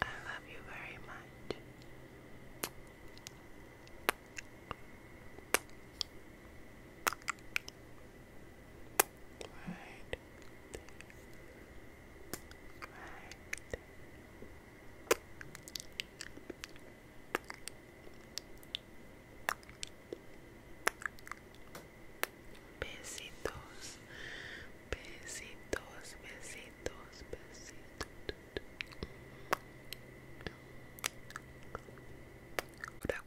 I love you very much. Right. Right. Besitos, besitos, besitos, besitos. Tap,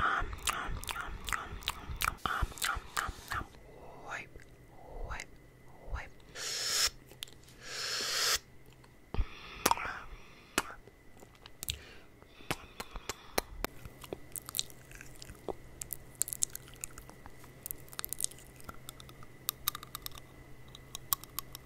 Um, um, um, um, um, um, um, um, wipe, wipe, wipe.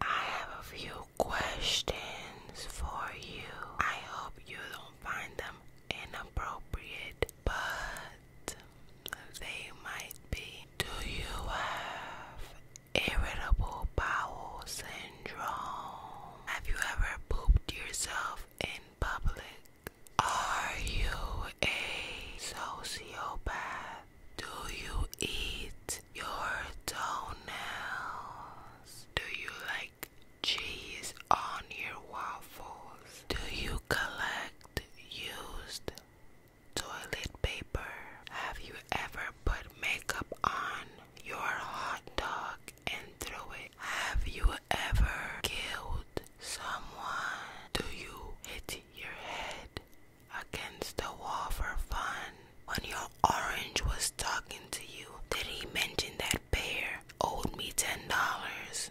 I have a few questions for you. I hope you don't find them inappropriate, but they might be. Do you have irritable bowel syndrome? Have you ever pooped yourself in public? Are you a sociopath? Do you eat your toenails? Do you like cheese on your waffles? Do you collect used toilet paper? Have you ever put makeup on your hot dog and threw it? Have you ever killed someone? Do you hit your head against the wall for fun. When your orange was talking to you, did he mention that bear owed me ten dollars?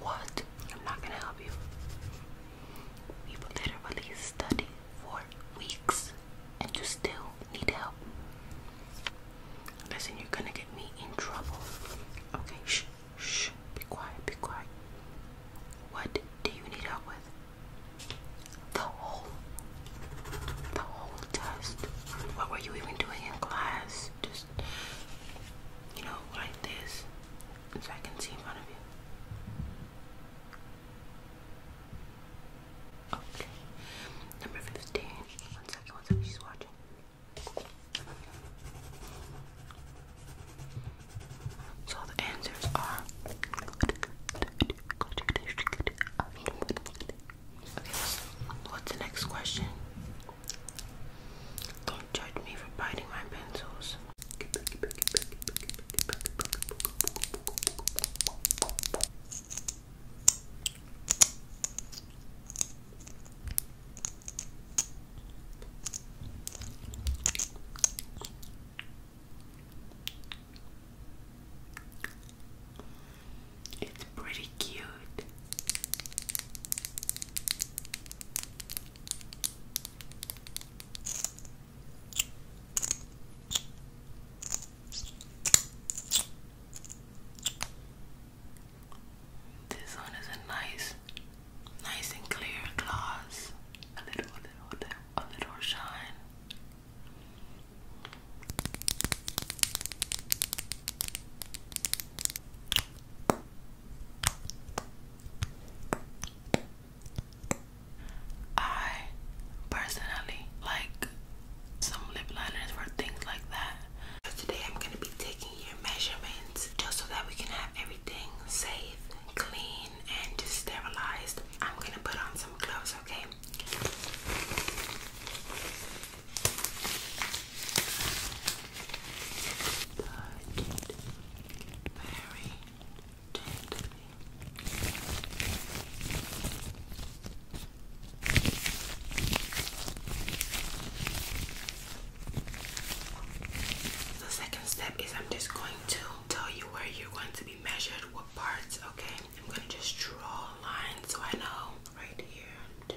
What? I'm not gonna help you. We've literally studied for weeks and you still need help. Listen, you're gonna get me in trouble. Okay, shh, shh, be quiet, be quiet. What do you need help with? The whole, the whole test. What were you even doing in class? just you know like this so I can see in front of you. Okay. Number fifteen. One second, one second, she's watching. So the answers are what's the next question? Don't judge me for biting my pencils. It's pretty cute. This one is a nice, nice and clear glass. a little, a little, a little shine. I personally like some lip liners for things like that. So today I'm going to be taking your measurements just so that we can have everything safe, clean, and just sterilized. I'm going to put on some gloves, okay? very gently. The second step is I'm just going to tell you where you're going to be measured, what parts, okay? I'm going to just draw a line so I know right here.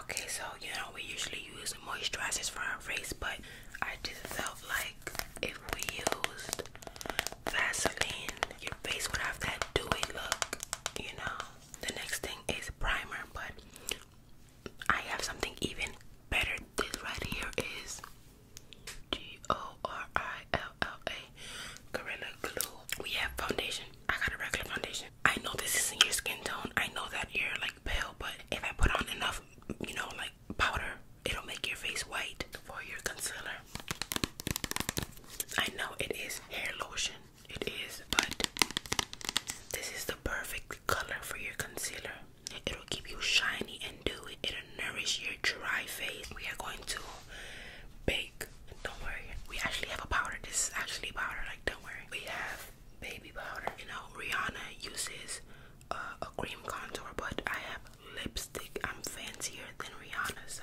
Okay, so you know we usually use moisturizers for our face, but I just felt like if we used Vaseline, your face would have that dewy look, you know. The next thing is primer, but I have something even better. This right here is G O R I L. LLA Gorilla Glue. We have foundation. I got a regular foundation. I know this isn't your skin tone. I know that you're like pale, but if I put on enough, you know, like powder, it'll make your face white. For your concealer, I know it is hair lotion. It is, but this is the perfect color for your concealer. It'll keep you shiny and dewy. It'll nourish your dry face. We are going to bake. Don't worry. We actually have a powder. This is actually powder. Like, don't worry. We have baby powder. You know, Rihanna uses uh, a cream contour, but I have lipstick. I'm fancier than Rihanna, so.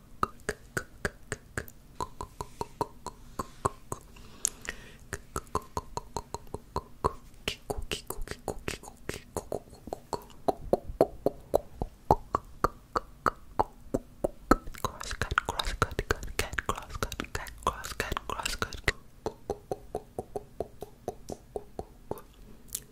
Crosscut, crosscut, cut, cat, crosscut, cat, crosscut, crosscut. Cross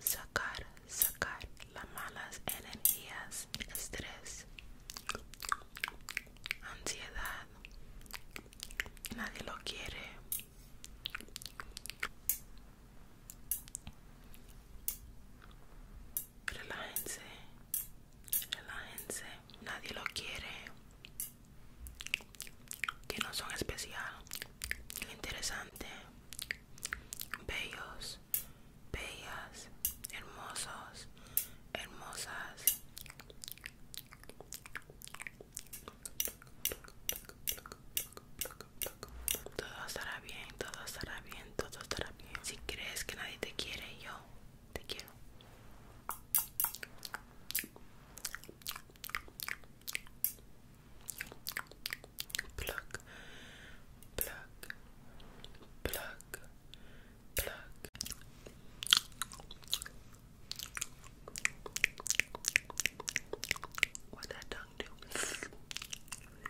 Sacar, sacar las malas energías, estrés, ansiedad. Nadie lo quiere relájense, relájense. Nadie lo quiere. Que no son especial, interesante, bellos, bellas, hermosos, hermosas. Todo estará bien, todo estará bien todo Si crees que nadie te quiere, yo te quiero. Plug, plug, Pluck. Pluck. What that tongue do? I'm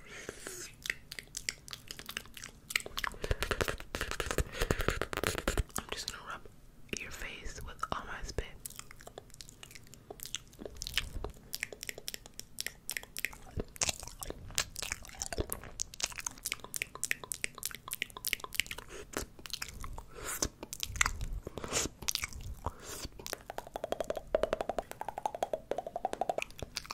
just gonna rub your face with all my spit.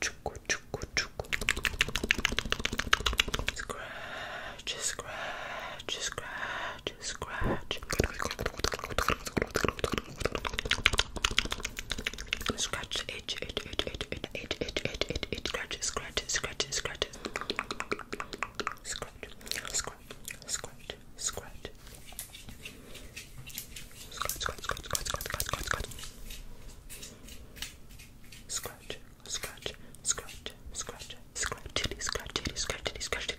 Scratch, scratch, scratch, scratch. Scratch, itch, itch, itch, itch, itch, itch, itch, itch, itch, itch, scratch, scratch, scratch, scratch. Scratch, scratch, scratch, scratch. Scratch, scratch, scratch, scratch, scratch, scratch, scratch. Scratch, scratch, scratch, scratch, scratch it, scratch it, scratch it, scratch it.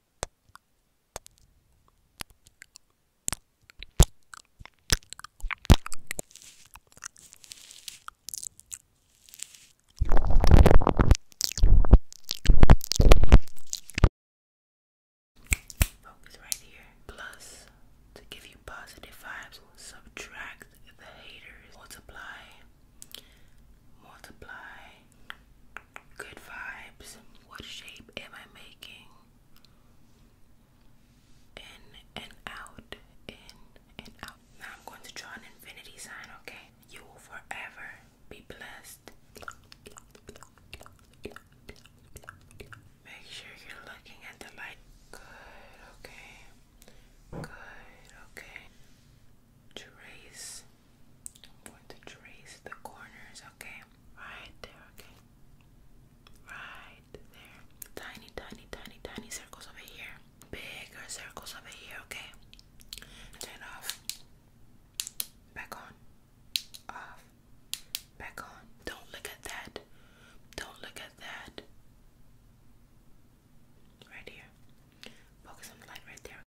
Focus right here. Plus, to give you positive vibes, subtract the haters, multiply, multiply, Good vibes. What shape am I making? In and out. In and out. Now I'm going to draw an infinity sign, okay? You will forever be blessed. Make sure you're looking at the light. Good, okay. Good, okay trace. I'm going to trace the corners, okay? Right there, okay? Right there. Tiny, tiny, tiny, tiny circles over here. Bigger circles over here, okay? Turn off. Back on. Off. Back on. Don't look at that. Don't look at that. Right here. Focus on the light right there.